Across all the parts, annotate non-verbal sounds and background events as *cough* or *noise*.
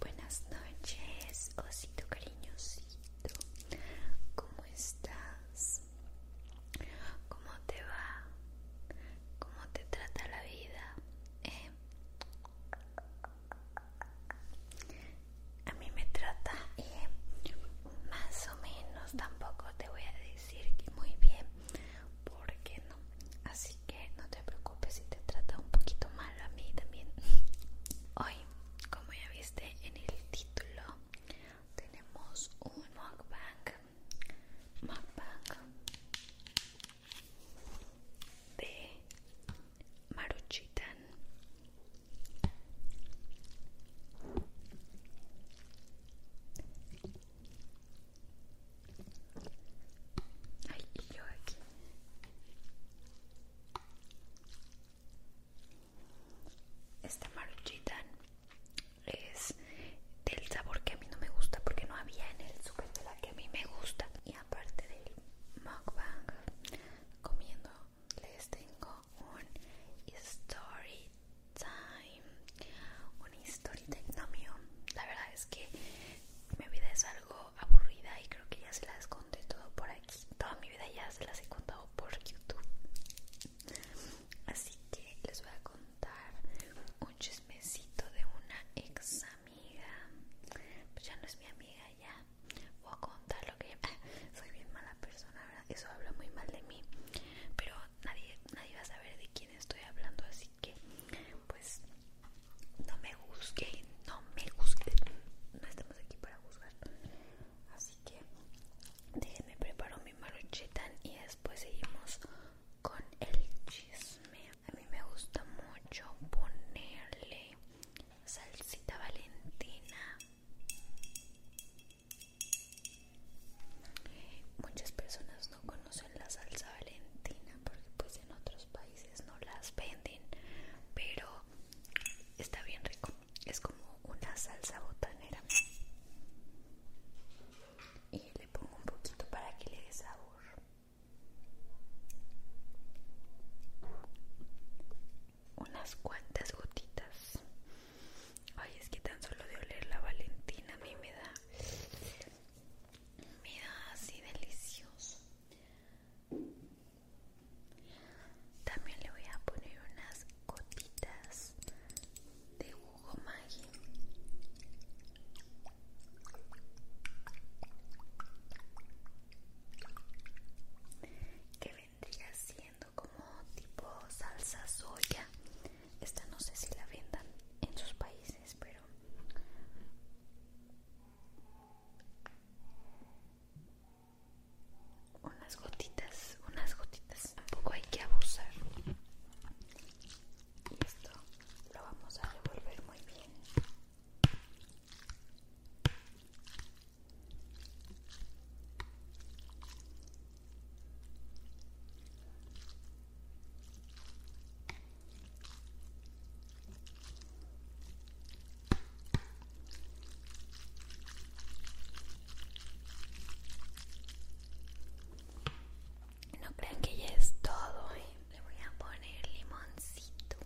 Buenas noches, osito cariñosito. ¿Cómo estás? ¿Cómo te va? ¿Cómo te trata la vida? Eh, a mí me trata eh, más o menos tampoco te voy a decir que muy bien porque no así que no te preocupes si te trata un poquito mal a mí también *laughs* hoy como ya viste en el título tenemos un mukbang mukbang de Maruchitan. Ay, yo aquí. Esta Maruchitan es del sabor que a mí no me gusta porque no había en el súper que a mí me gusta. Y aparte del mukbang, comiendo les tengo un story time un story time no la verdad es que mi vida es algo aburrida y creo que ya se las conté todo por aquí toda mi vida ya se las he contado por youtube así que les voy a contar un chismecito de una ex amiga pues ya no es mi amiga ya voy a contar lo que *laughs* soy bien mala persona, eso habla muy mal de mí, pero nadie, nadie va a saber de quién estoy hablando, así que pues no me juzguen, no me juzguen, no estamos aquí para juzgar, así que déjenme preparo mi maruchetan y después seguimos con el chisme. A mí me gusta mucho ponerle salsita valentina muchas personas no conocen la salsa valentina porque pues en otros países no las venden pero está bien rico es como una salsa botanera y le pongo un poquito para que le dé sabor unas cuantas gotitas. Ay, es que tan solo de oler la Valentina a mí me da. Me da así delicioso. También le voy a poner unas gotitas de jugo Maggi que vendría siendo como tipo salsa soya esta no sé si la vendan en sus países pero unas gotitas unas gotitas tampoco hay que abusar y esto lo vamos a revolver muy bien no crean que ya es todo, ¿eh? le voy a poner limoncito.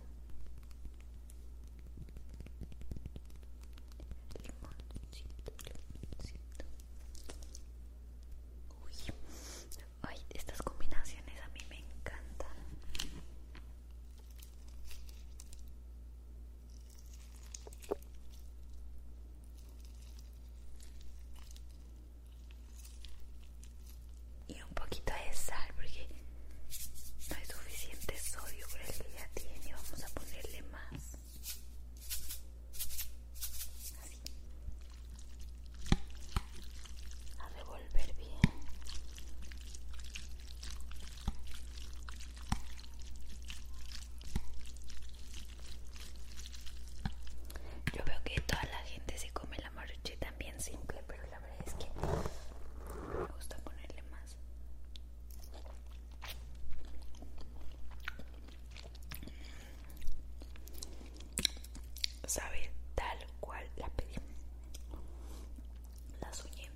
Limoncito, limoncito. Uy, ay, estas combinaciones a mí me encantan un poquito de sal porque no hay suficiente sodio por el que ya tiene vamos a ponerle más así a revolver bien yo veo que toda la gente se come la maruchita también simple pero la verdad es que me gusta ponerle más Sabe tal cual la pedí. La soñé.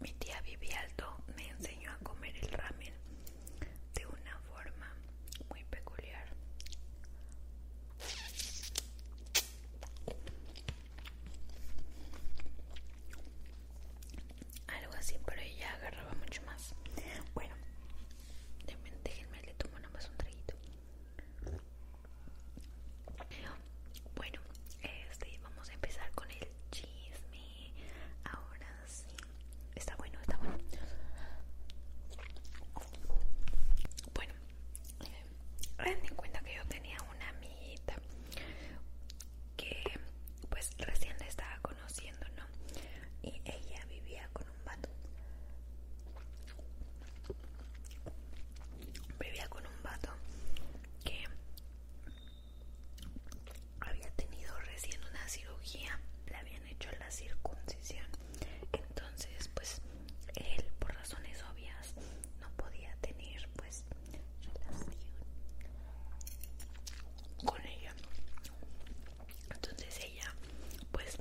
Mi tía Vivi Alto me enseñó a comer el ramen de una forma muy peculiar. Algo así, pero ella agarraba mucho más. Bueno, déjenme le tomo más un traguito. Bueno, este, vamos a empezar con el chisme. Ahora Está bueno, está bueno. Bueno, Ten en cuenta que yo tenía una amiguita que pues recién le estaba conociendo, ¿no? Y ella vivía con un vato. Vivía con un vato que había tenido recién una cirugía, le habían hecho la circuncisión, entonces pues él por razones obvias no podía tener pues relación con ella. Entonces ella pues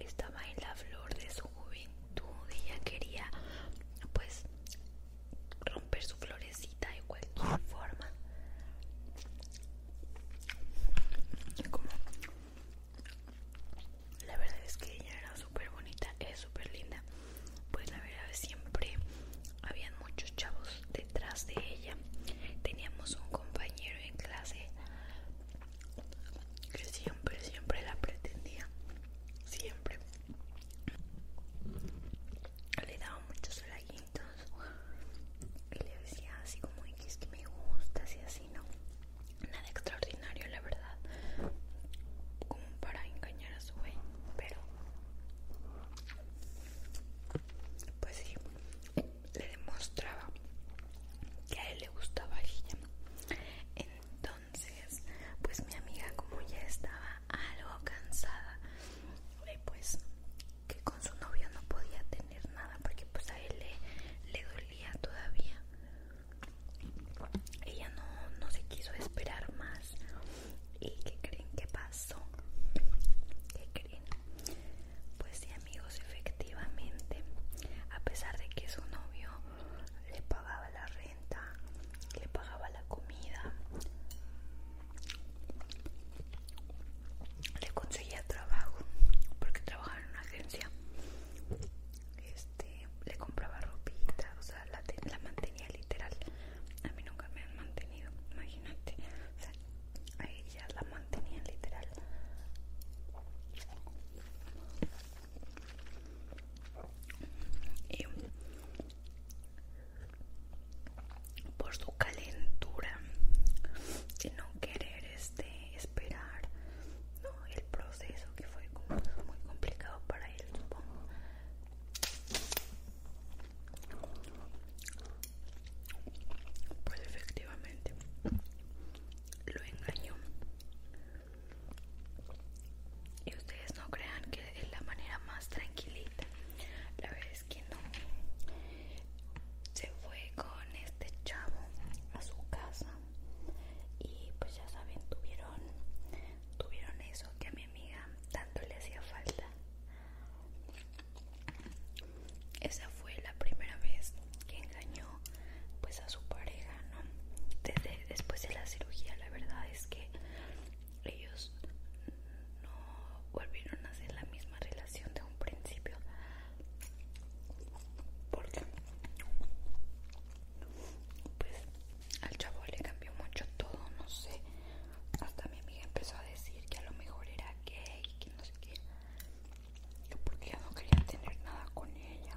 estaba en la flor de su juventud, ella quería pues romper su florecita de cualquier forma la verdad es que ella era súper bonita es súper linda pues la verdad siempre habían muchos chavos detrás de ella teníamos un compañero en clase que siempre siempre la pretendía siempre le daba muchos like le decía así como es que me gusta, así así, ¿no? Nada extraordinario, la verdad, como para engañar a su güey, pero pues sí, le demostraba que a él le gustaba ella. Entonces, pues mi amiga como ya estaba algo cansada pues que con su novio no podía tener nada porque pues a él le, dolía todavía ella no, se quiso esperar más y que creen que pasó ¿Qué creen pues sí amigos efectivamente a pesar de que su novio le pagaba la renta le pagaba la comida le conseguía trabajo porque trabajaba en una agencia este le compraba ropita o sea la, mantenía literal a mí nunca me han mantenido imagínate o sea, a ella la mantenía literal y por su calentura Y no querer este esperar el proceso que fue muy complicado para él supongo pues efectivamente lo engañó y ustedes no crean que es la manera más tranquilita la verdad que no se fue con este chavo a su casa y pues ya saben tuvieron tuvieron eso que a mi amiga tanto le hacía falta esa fue la primera vez que engañó pues a su pareja no desde después de la cirugía la verdad es que ellos no volvieron a hacer la misma relación de un principio porque pues al chavo le cambió mucho todo no sé hasta mi amiga empezó a decir que a lo mejor era gay que no sé qué porque ya no quería tener nada con ella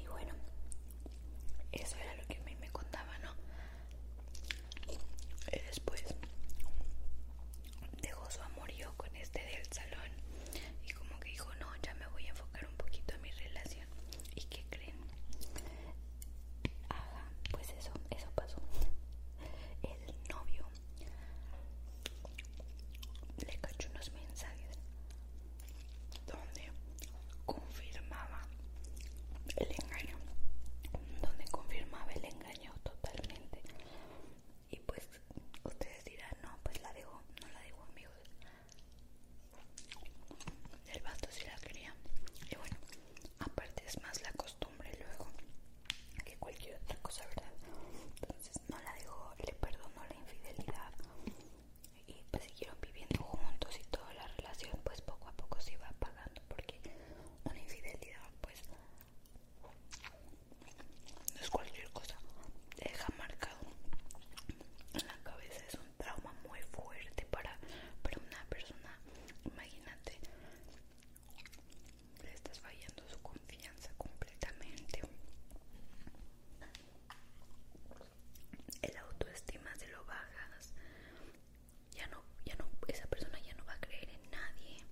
y bueno eso era lo que a mí me contaba no y eh, después dejó su amorío con este del salón y como que dijo no ya me voy a enfocar un poquito a mi relación y qué creen ajá pues eso eso pasó el novio le cachó unos mensajes donde confirmaba el engaño, donde confirmaba el engaño totalmente. Y pues ustedes dirán, no, pues la dejo, no la dejo amigos. El vato si la quería. Y bueno, aparte es más la costumbre luego que cualquier otra cosa, ¿verdad? Entonces no la dejó, le perdonó la infidelidad. Y pues siguieron viviendo juntos y toda la relación pues poco a poco se iba apagando porque una infidelidad pues no es cualquier cosa deja marcado en la cabeza es un trauma muy fuerte para, para una persona imagínate le estás fallando su confianza completamente el autoestima se lo bajas ya no, ya no, esa persona ya no va a creer en nadie.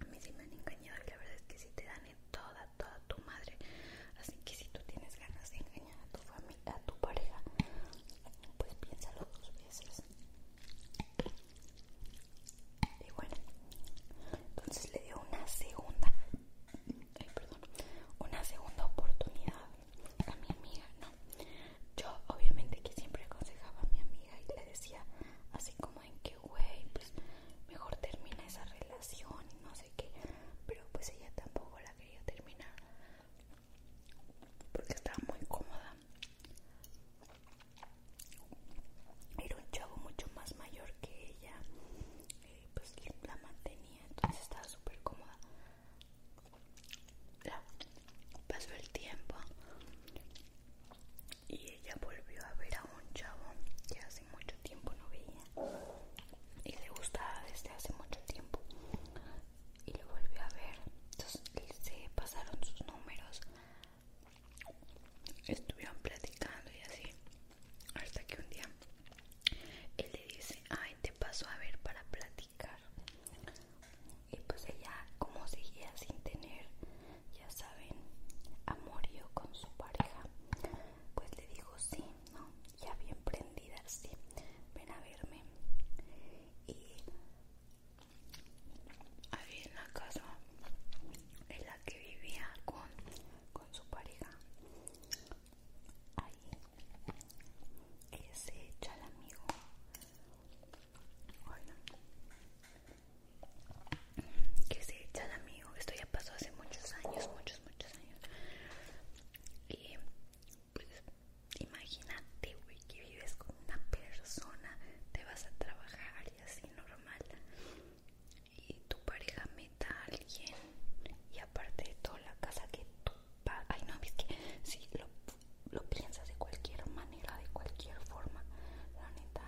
A mí sí me han engañado y la verdad es que si te dan en toda, toda tu madre. Así que si tú tienes ganas de engañar a tu familia, a tu pareja, pues piénsalo dos veces. Y bueno, entonces le dio una segunda, ay, perdón, una segunda oportunidad a mi amiga, no. Yo obviamente que siempre aconsejaba a mi amiga y le decía así como en que, way pues mejor termina esa relación y no sé qué. Pero pues ella tampoco la quería terminar porque estaba muy cómoda. Era un chavo mucho más mayor que ella, Y eh, pues la mantenía, entonces estaba súper cómoda pasó el tiempo y ella volvió a ver a un chavo que hace mucho tiempo no veía y le gustaba desde hace mucho tiempo y lo volvió a ver entonces se pasaron sus números estuvieron platicando y así hasta que un día él le dice ay te paso a ver para platicar y pues ella como seguía sin tener ya saben amorío con su pareja pues le dijo sí no ya bien prendida sí ven a verme y ahí en la casa en la que vivía con, su pareja ahí se echa el amigo bueno. Que se echan amigo, esto ya pasó hace muchos años, muchos, muchos años. Y pues imagínate, que vives con una persona, te vas a trabajar y así normal. Y tu pareja meta a alguien. Y aparte de toda la casa que tú pagas. Ay no, es que Sí, lo lo piensas de cualquier manera, de cualquier forma, la neta.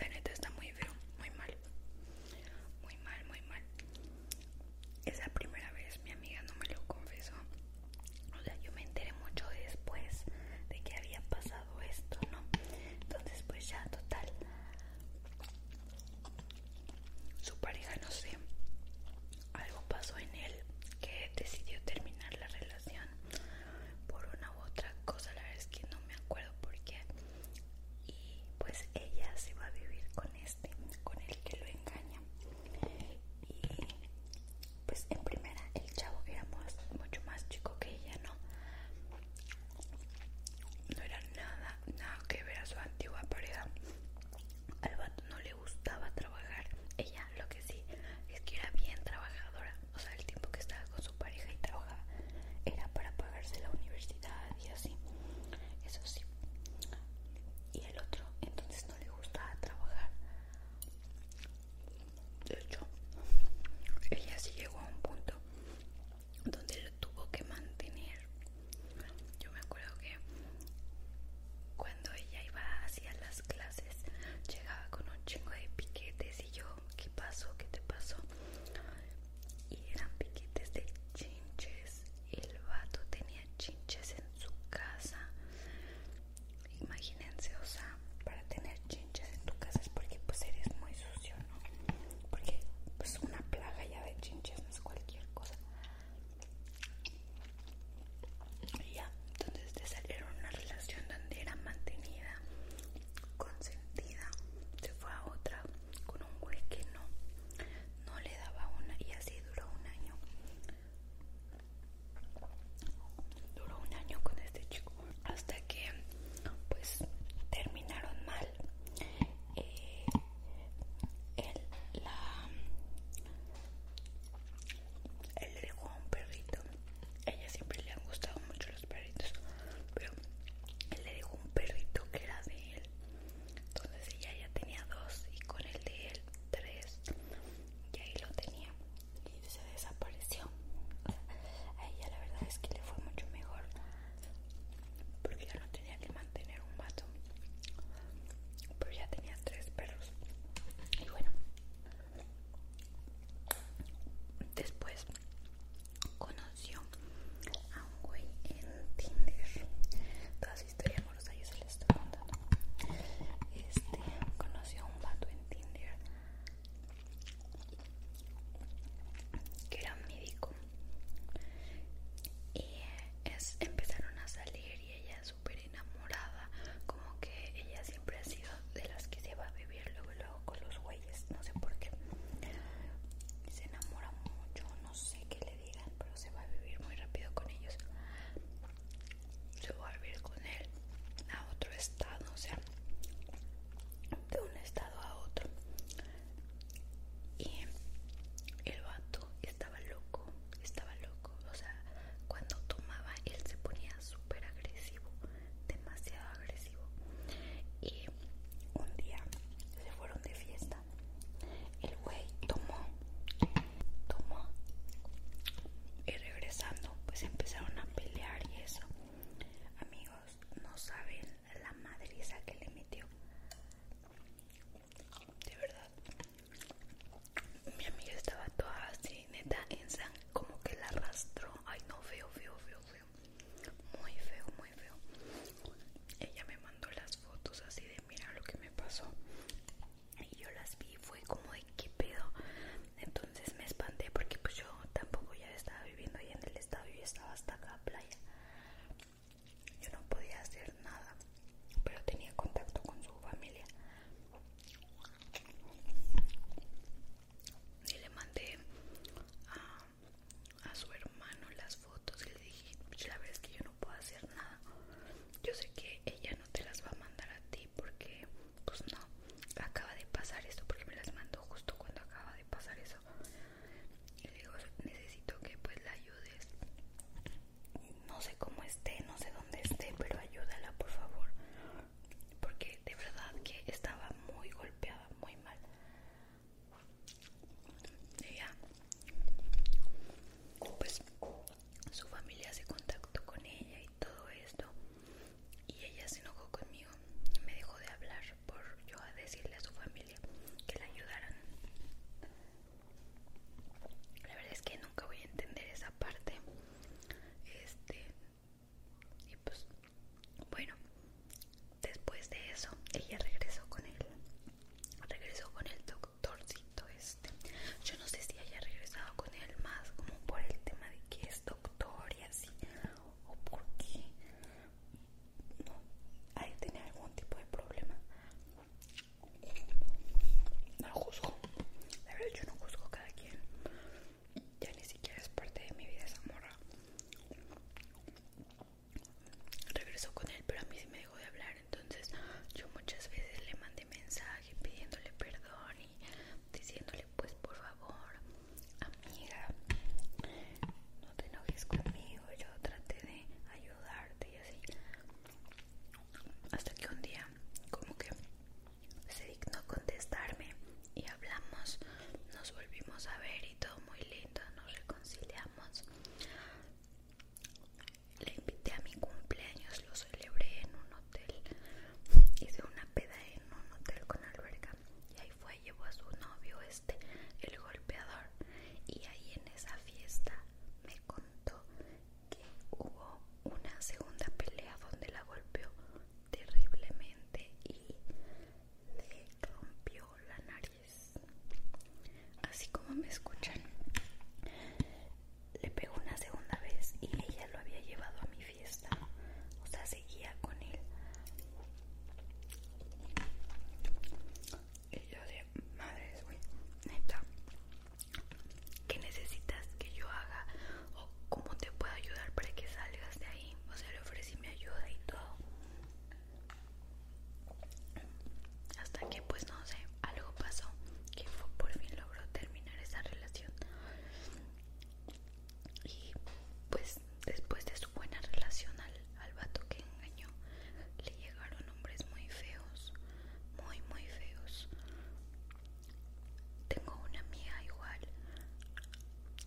La neta está muy feo, muy mal. Muy mal, muy mal. Esa primera vez mi amiga no me lo confesó. O sea, yo me enteré mucho después de que había pasado esto, ¿no? Entonces pues ya total su pareja no sé algo pasó en él que decidió terminar la relación por una u otra cosa la verdad es que no me acuerdo por qué y pues ella se va a vivir con este con el que lo engaña y pues en primera el chavo era mucho más chico que ella, ¿no? No era nada, nada que ver a su antigua pareja. Al no le gustaba trabajar. Ella lo que sí es que era bien trabajadora. O sea, el tiempo que estaba con su pareja y trabajaba era para pagarse la universidad y así. Eso sí. Y el otro entonces no le gustaba trabajar de hecho ella sí llegó a un punto donde lo tuvo que mantener yo me acuerdo que cuando ella iba hacia las clases llegaba con un chingo de piquetes y yo qué pasó qué te pasó y eran piquetes de chinches el vato tenía chinches en su casa imagínense, o sea, para tener chinches en tu casa es porque pues eres muy sucio, ¿no? Porque pues una plaga ya de chinches no es cualquier cosa. Y ya, entonces te salieron una relación donde era mantenida, consentida, se fue a otra con un güey que no, no le daba una y así duró un año duró un año con este chico hasta que pues terminaron mal eh, él, la, él le dejó a un perrito ella siempre le han gustado mucho los perritos pero él le dejó un perrito que era de él entonces ella ya tenía dos y con el de él tres y ahí lo tenía y se desapareció. A ella la verdad es que le fue mucho mejor porque ya no tenía que mantener un vato, pero ya tenía tres perros. Y bueno, después conoció a un güey en Tinder. Todas historias historias amorosa yo se les estoy contando. Este conoció a un vato en Tinder que era médico y es, empezaron a salir y ella súper enamorada como que ella siempre ha sido de las que se va a vivir luego luego con los güeyes no sé por qué se enamora mucho no sé qué le digan pero se va a vivir muy rápido con ellos se va a vivir con él a otro estado o sea de un estado a otro y el vato estaba loco, estaba loco, o sea, cuando tomaba él se ponía súper agresivo, demasiado agresivo y un día se fueron de fiesta, el güey tomó, tomó y regresando pues empezaron a pelear y eso Amigos, no saben la madriza que le metió. De verdad. Mi amiga estaba toda así, neta, en sangre, como que la arrastró. Ay, no, feo, feo, feo, feo. Muy feo, muy feo. Ella me mandó las fotos así de mira lo que me pasó. Y yo las vi, fue como qué pedo entonces me espanté porque pues yo tampoco ya estaba viviendo ahí en el estado y estaba hasta acá a playa yo no podía hacer nada pero tenía contacto con su familia y le mandé a, su hermano las fotos y le dije la verdad es que yo no puedo hacer nada yo sé que ella no te las va a mandar a ti porque pues no, acaba de pasar esto porque me las mandó justo cuando acaba de pasar eso y le digo necesito que pues la ayudes no sé cómo esté, no sé dónde esté pero ayúdala por favor porque de verdad que estaba muy golpeada, muy mal y ya pues su familia se contactó con ella y todo esto y ella se enojó conmigo y me dejó de hablar por yo a decirle a su familia que la ayudaran. La verdad es que nunca voy a entender esa parte. Este y pues bueno, después de eso ella regresó con él. Regresó con el doctorcito este. Yo no sé si haya regresado con él más como por el tema de que doctor y así? ¿O por qué? No, ahí tenía algún tipo de problema. No lo juzgo. la verdad, yo no juzgo a cada quien. Ya ni siquiera es parte de mi vida esa morra. Regresó con él, pero a mí sí me dejó de hablar. Entonces, yo muchas veces le mandé mensaje pidiéndole perdón y diciéndole pues por favor amiga no te enojes conmigo yo traté de ayudarte y así hasta que un día como que se dignó contestarme y hablamos nos volvimos a ver y todo muy lindo nos reconciliamos le invité a mi cumpleaños, lo celebré en uno hotel hice una peda en un hotel con alberca y ahí fue llevó a su novio este el golpeador y ahí en esa fiesta me contó que hubo una segunda pelea donde la golpeó terriblemente y le rompió la nariz así como me escuchan le pegó una segunda vez y ella lo había llevado a mi Ahí O sea, seguía con él. Y yo de madres, güey, neta, ¿qué necesitas que yo haga? ¿O cómo te puedo ayudar para que salgas de ahí? O sea, le ofrecí mi ayuda y todo. Hasta que, pues no sé, algo pasó que por fin logró terminar esa relación y pues después de su buena relación al, al vato que engañó le llegaron hombres muy feos muy muy feos tengo una amiga igual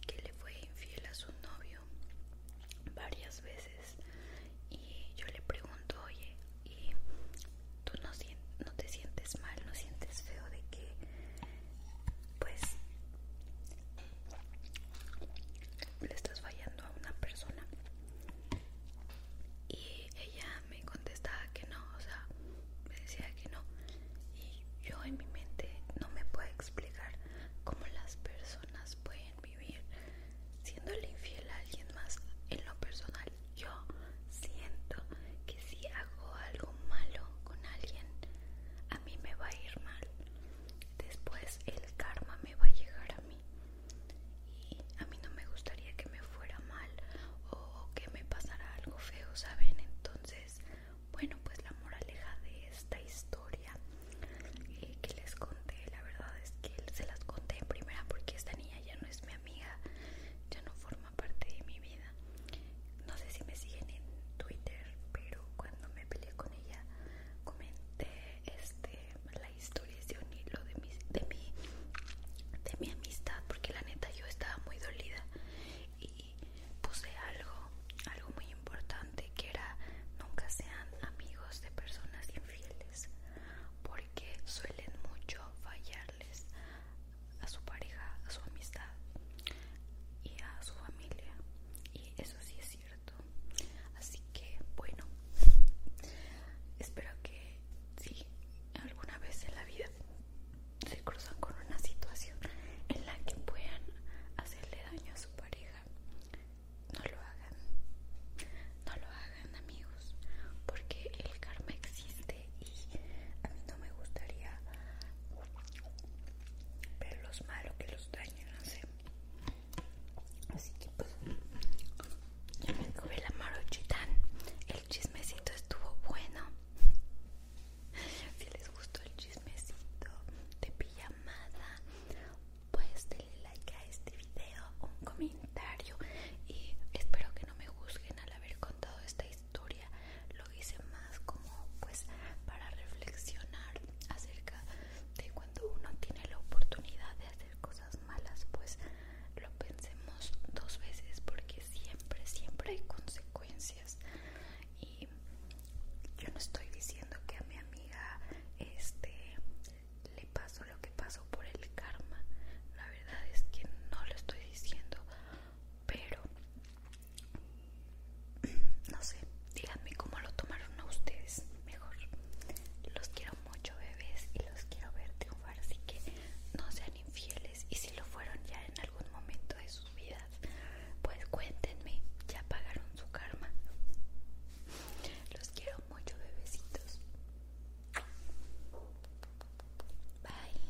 que le fue infiel a su novio varias veces y yo le pregunto oye y tú no, no te sientes mal no sientes feo de que pues le estás fallando a una persona y ella me contestaba que no, o sea, me decía que no y yo en mi mente no me puedo explicar cómo las personas pueden vivir siéndole infiel a alguien más en lo personal yo siento que si hago algo malo con alguien a a mí me va a ir mal. Después el karma me va a llegar a mí. Y a mí no me gustaría que me fuera mal o que me pasara algo feo, ¿saben? Entonces, bueno, pues la moraleja de esta historia eh, que les conté, la verdad es que se las conté en primera porque esta niña ya no es mi amiga, ya no forma parte de mi vida no sé si me siguen en Twitter, pero cuando me peleé con ella comenté este, la historia de un hilo de mi, de mi de mi amistad, porque la neta yo estaba muy dolida y puse algo, algo muy importante que era nunca sean amigos de personas infieles, porque suelen mucho fallarles a su pareja, a su amistad y a su familia. Y eso sí es cierto. Así que, bueno, espero que si alguna vez en la vida se cruzan con una situación en la que puedan hacerle daño a su pareja, no lo hagan. No lo hagan, amigos, porque el karma existe y a mí no me gustaría pero los malo que los dañan así que pues ya me comí la marochitán. el chismecito estuvo bueno si les gustó el chismecito de amada. pues denle like a este video un comentario y espero que no me juzguen al haber contado esta historia lo hice más como pues para reflexionar acerca de cuando uno tiene la oportunidad de hacer cosas malas pues lo pensemos dos veces porque siempre siempre hay consecuencias y yo no estoy diciendo que a mi amiga este le pasó lo que pasó por el karma la verdad es que no lo estoy diciendo pero no sé, díganme cómo lo tomaron a ustedes mejor. Los quiero mucho, bebés, y los quiero ver triunfar, así que no sean infieles. Y si lo fueron ya en algún momento de sus vidas, pues cuéntenme, ya pagaron su karma. Los quiero mucho, bebecitos. Bye.